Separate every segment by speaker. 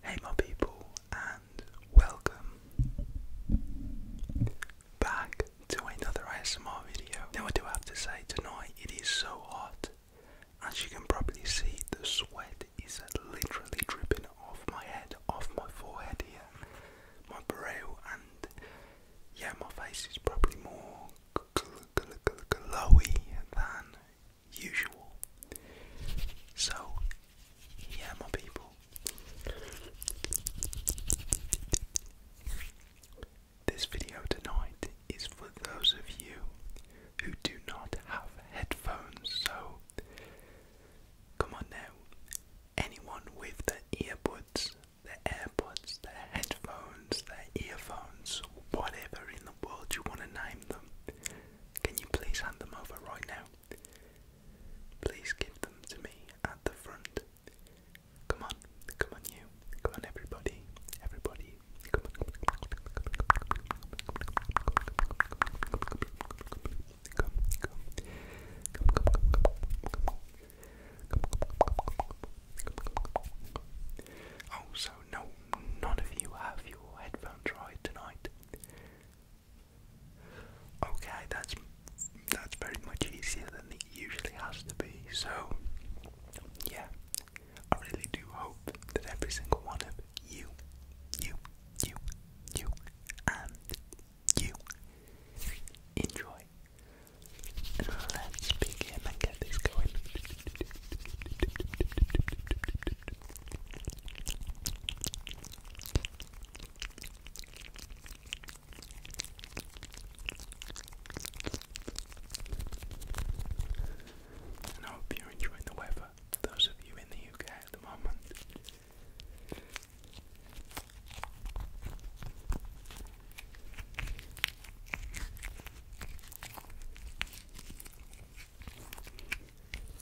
Speaker 1: Hey, my people, and welcome back to another ASMR video. Now, what do I have to say, tonight it is so hot. As you can probably see, the sweat is literally dripping off my head, off my forehead here, my brow, and yeah, my face is probably more glowy than usual. So, yeah, my people. This video tonight is for those of you who do not have headphones, so come on now. Anyone with their earbuds, their AirPods, their headphones, their earphones, whatever in the world you want to name them, can you please hand them over right now? Please give them to me at the front. Come on, come on you, come on everybody, everybody, come on, come on, come on, come on, come on, Oh, so no, none of you have your headphones right tonight. Okay, that's that's very much easier than it usually has to be. So, yeah, I really do hope that every single one of you, you, you, you, and you enjoy. And let's begin and get this going. And I hope you're enjoying the weather, those of you in the UK at the moment.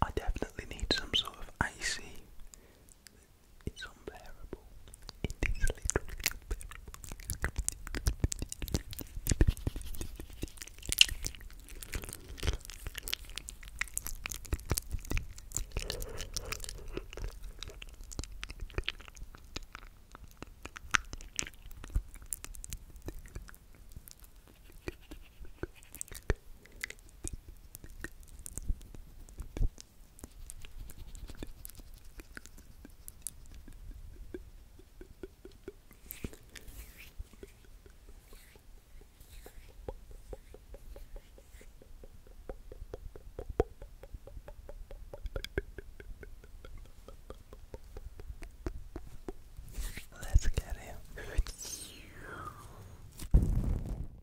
Speaker 1: I definitely need some sort of icy it's unbearable. It is literally unbearable. Let's get him.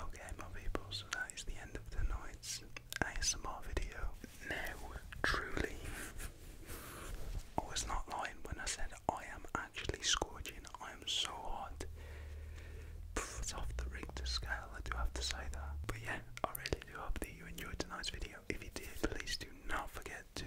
Speaker 1: Okay, my people, so that is the end of tonight's ASMR video. Now, truly, I was not lying when I said I am actually scorching. I am so hot. it's off the Richter scale, I do have to say that. But yeah, I really do hope that you enjoyed tonight's video. If you did, please do not forget to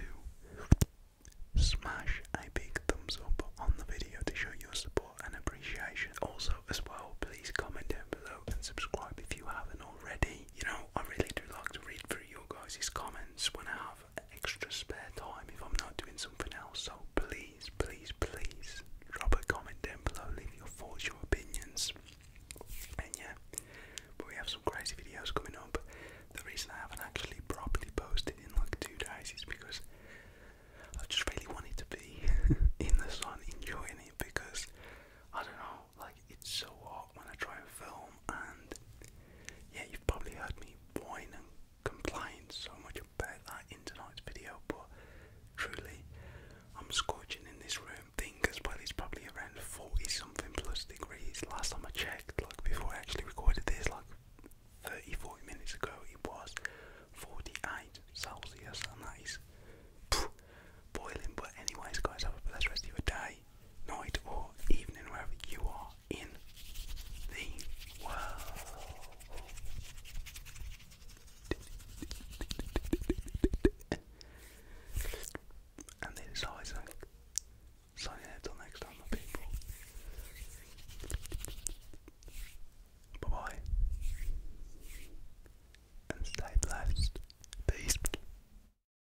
Speaker 1: smash a big thumbs up on the video to show your support and appreciation. Also, as well, please comment down below and subscribe if you haven't already. You know, I really do like to read through your guys' comments when I have extra spare time if I'm not doing something else. So please, please, please drop a comment down below, leave your thoughts, your opinions. And yeah, but we have some crazy videos coming up. The reason I haven't actually properly posted in like two days is because I just really wanted to be in the sun enjoying it because I don't know, like it's so hot when I try and film, and yeah, you've probably heard me whine and complain so much about that in tonight's video, but truly, I'm scorching in this room. Think as well, it's probably around 40 something plus degrees. Last time I checked, like before I actually recorded this, like 30 40 minutes ago, it was 48 Celsius, and that is. boiling but anyways guys have a blessed rest of your day night, or evening, wherever you are in the world. And they decide to sign out till next time, my people. Bye bye. And stay blessed. Peace.